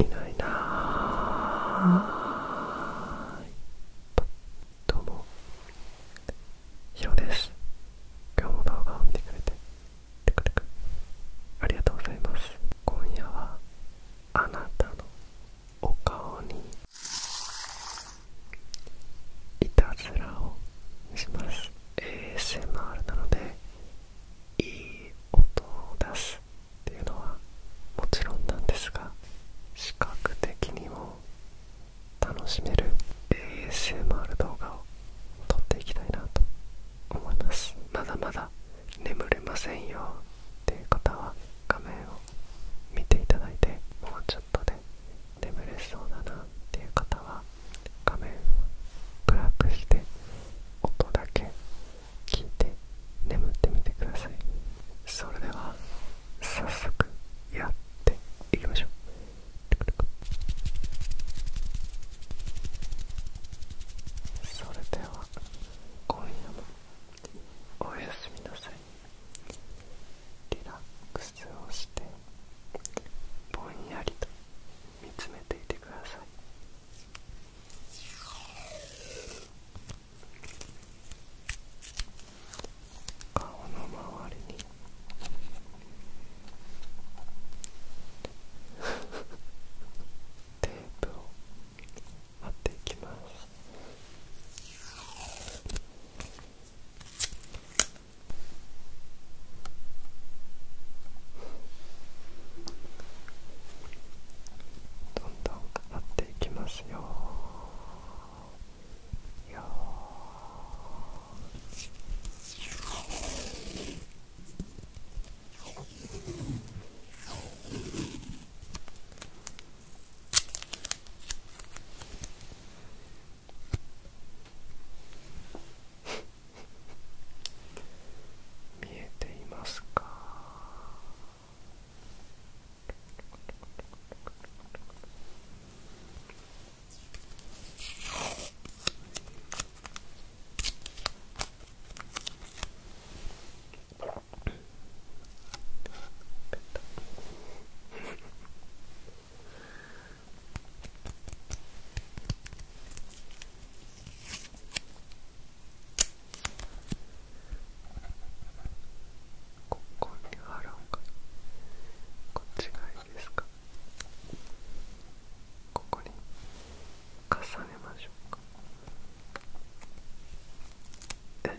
いないなあどうもヒロです今日も動画を見てくれてありがとうございます今夜はあなたのお顔にいたずらをします ASMR なのでいい音を出すっていうのはもちろんなんですが視覚的にも楽しめる ASMR 動画を撮っていきたいなと思いますまだまだ眠れませんよっていう方は画面を見ていただいてもうちょっとで眠れそうだなっていう方は画面を暗くして音だけ聞いて眠ってみてくださいそれでは早速やっていきましょうそれでは今夜もおやすみなさいリラックスをしてぼんやりと見つめていてください顔の周りに テープを貼っていきますどんどん飾っていきますよ見えていますか ここに貼ろうかこっちがいいですかここに重ねましょうかえ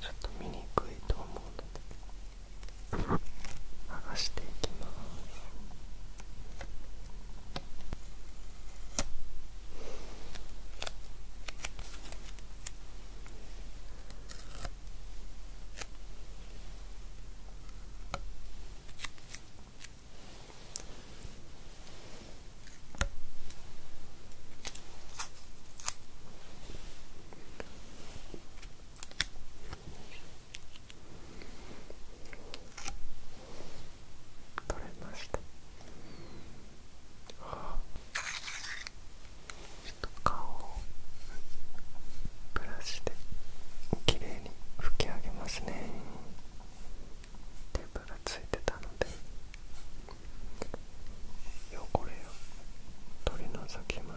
ちょっと見にくいと思うので剥がしていきますこ取れましたちょっと顔をブラシできれいに拭き上げますねテープがついてたので汚れを取り除きます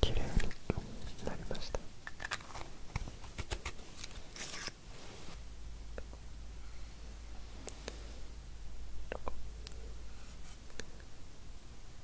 綺麗になりました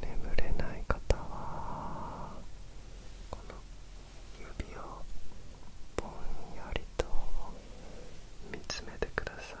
眠れない方はこの指をぼんやりと見つめてください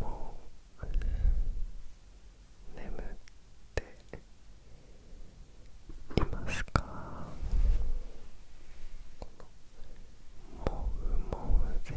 もう眠っていますかもふもふで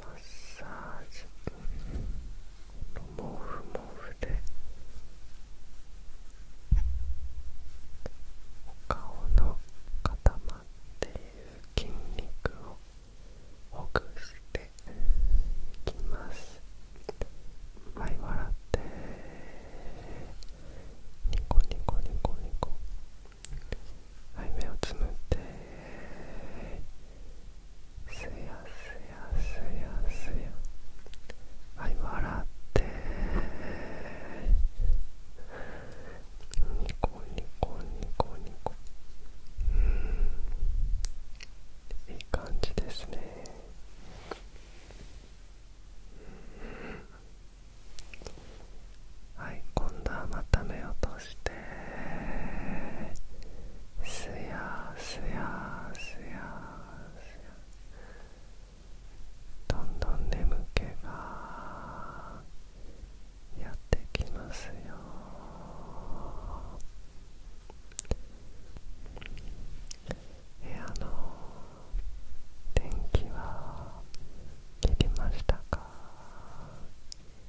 マッサージもふもふでお顔の固まっている筋肉をほぐしていきますは笑ってニコニコニコニコはい目をつむってすやすやすやすやはい笑ってニコニコニコニコうんいい感じですねはい今度はまた目を閉じてすやすやすやすやどんどん眠気がやってきますよ部屋の電気は切りましたか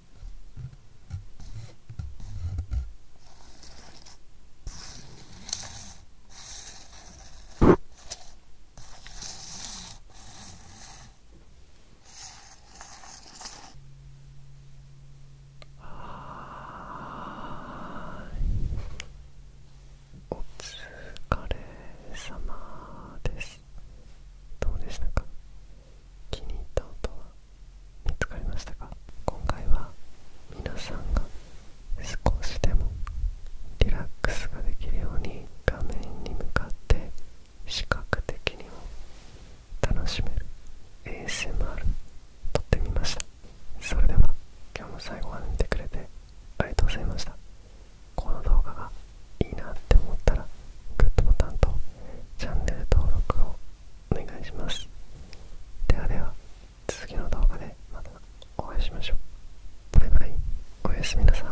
お疲れ様ですどうでしたか気に入った音は見つかりましたか今回は皆さんが少しでもリラックスができるように画面に向かって視覚的にも楽しめる ASMR 撮ってみましたそれでは今日も最後まで見てくれてありがとうございましたこの動画がいいなって思ったらグッドボタンとチャンネル登録をお願いしますではでは次の動画でまたお会いしましょうバイバイおやすみなさーい